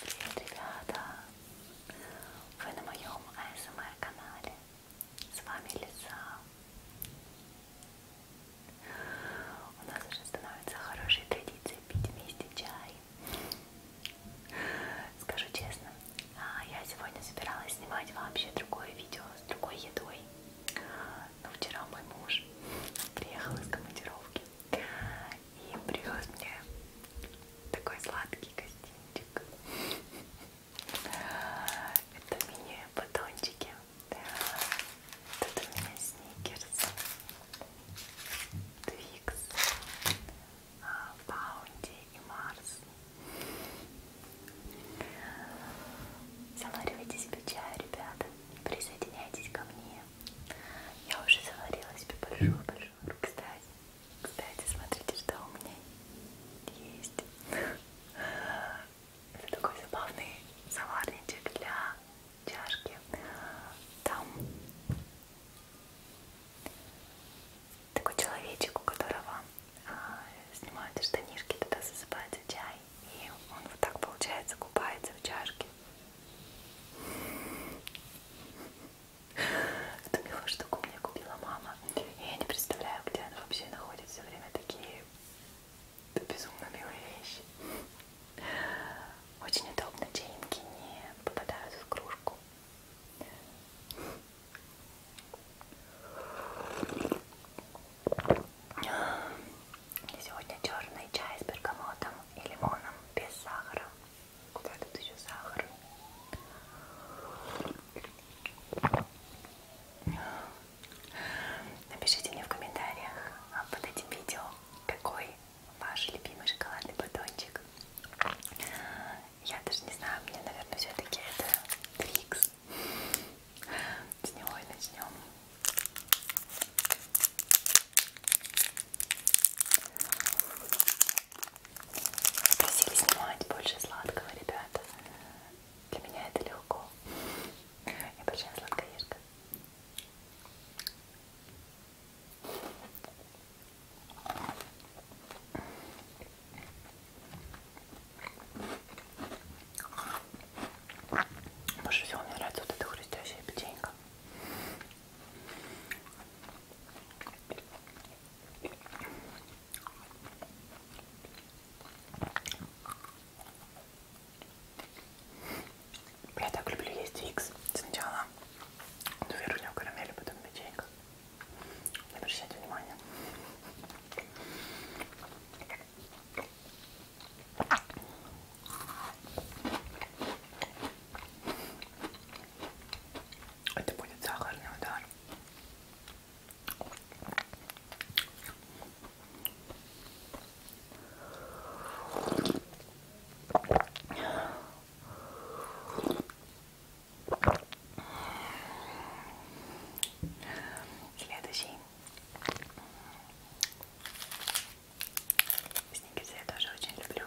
Привет, ребята! Вы на моем АСМР-канале. С вами Лиза. У нас уже становится хорошей традицией пить вместе чай. Скажу честно, а, я сегодня собиралась снимать вообще другое видео с другой едой но вчера мой муж приехал из командировки и привез мне такой сладкий гостинчик. Это мини-батончики. Тут у меня сникерс, твикс, а, баунти и марс. Заваривайте себе чай, ребята присоединяйтесь ко мне. Я уже заварила себе большую-большую. Кстати, кстати, смотрите, что у меня есть. Это такой забавный заварничек для чашки. Там такой человечек, у которого а, снимают штанишки, туда засыпается чай и он вот так получается купается в чашке. Эту милую штуку мне купила мама, и я не представляю, где она вообще находит все время такие безумно милые вещи. Очень удобно, чайники не попадают в кружку. Сегодня черный чай с бергамотом и лимоном без сахара. Куда тут еще сахар? Напишите мне в комментариях а под этим видео, какой ваш любимый шоколадный батончик. Я даже не знаю, мне, наверное, все-таки это Твикс. С него и начнем. Просили снимать больше сладкого, ребята. Для меня это легко. Я большая сладкоежка. Больше всего мне нравится вот эта хрустящая печенька. Я так люблю есть Викс. Сначала верхнюю карамель, потом печенька. Не обращайте внимания. Это будет сахарный удар. Следующий Сникерсы я тоже очень люблю.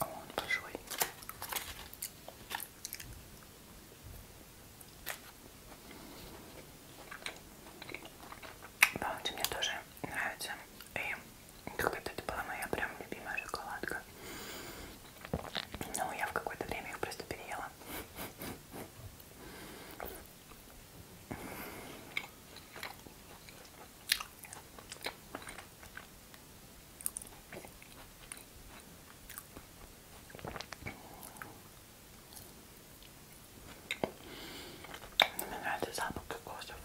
О, он большой. Да, мне тоже нравится. И когда-то это была моя прям любимая шоколадка. Но ну, я в какое-то время их просто переела. Мне нравится запах кокоса.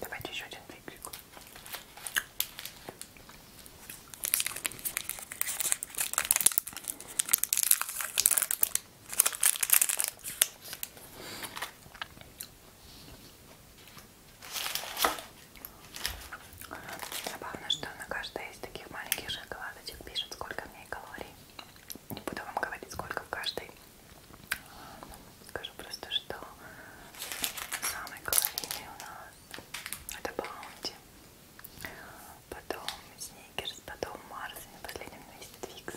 Давайте еще один фиксик. Забавно, что на каждой из таких маленьких шоколадочек пишет, сколько в ней калорий не буду вам говорить, сколько в каждой. Э, скажу просто, что самый калорийный у нас это Баунти, потом Сникерс, потом Марс, и на последнем месте Твикс.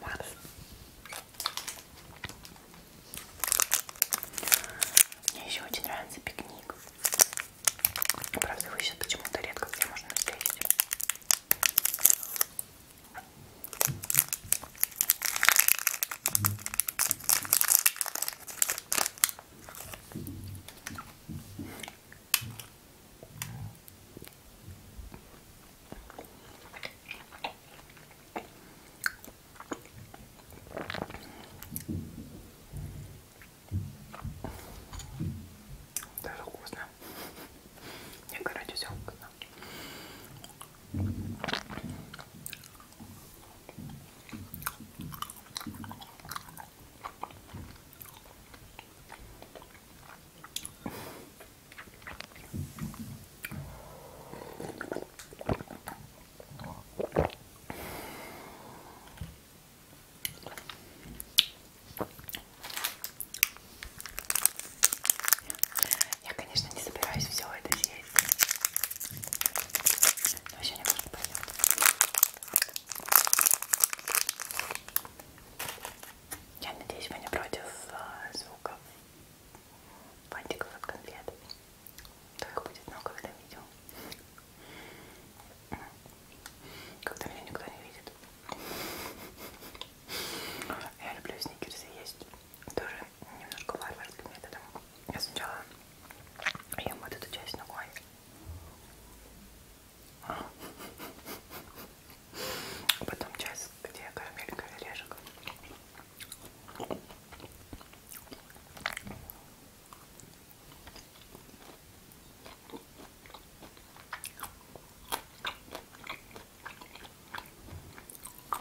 Марс. Мне еще очень нравится пикник. Правда, его сейчас почему-то редко где можно встретить. Даже вкусно. Мне, короче, все вкусно. Я, конечно, не собираюсь все это съесть. Но ну, сегодня, может, пойдет. Я надеюсь, вы не против э, звуков бантиков от конфет. То их будет много в этом видео. Когда меня никто не видит. Я люблю сникерсы есть тоже немножко варварским методом. Я сначала ем вот эту часть ногой. А. Потом часть, где карамелька и орешек.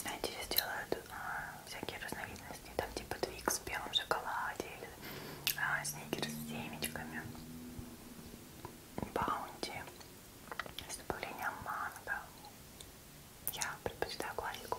Знаете, здесь делают а, всякие разновидности, там типа твикс в белом шоколаде или а, сникерс с семечками, баунти с добавлением манго. Я предпочитаю классику.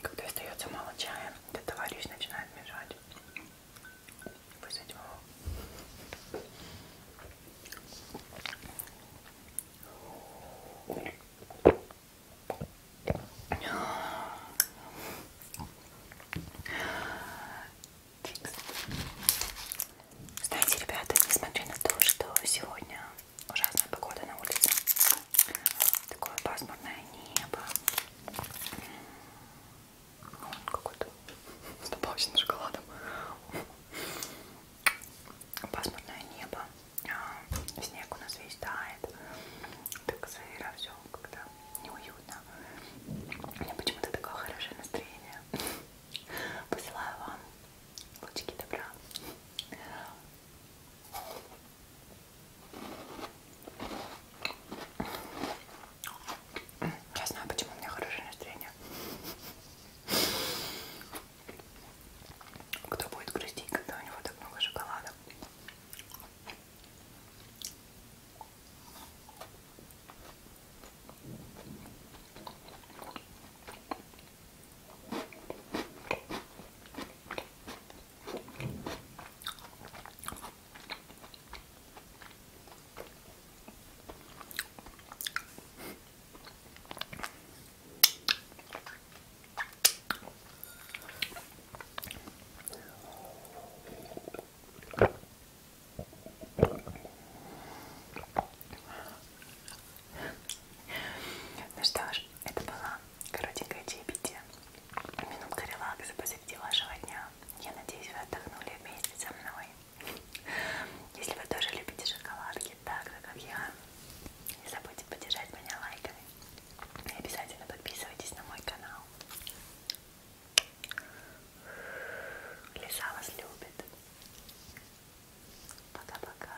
Когда остается мало чая, этот товарищ начинает мешать. Вызвать его. Знаете, ребята, несмотря на то, что сегодня ужасная погода на улице, Такое пасмурное небо. Ну, какой-то с добавочным шоколадом. Пасмурное небо. А, снег у нас весь тает. Так сыро все когда неуютно. Мне почему-то такое хорошее настроение. Посылаю вам лучики добра. Я знаю, почему у меня хорошее настроение. Кто будет грустить, когда у него так много шоколада? Ну что ж, это была коротенькая чаепитие Минутка релакса посреди вашего дня. Я надеюсь, вы отдохнули вместе со мной. Если вы тоже любите шоколадки так же, как я, не забудьте поддержать меня лайками. И обязательно подписывайтесь на мой канал. Лиса вас любит. Пока-пока.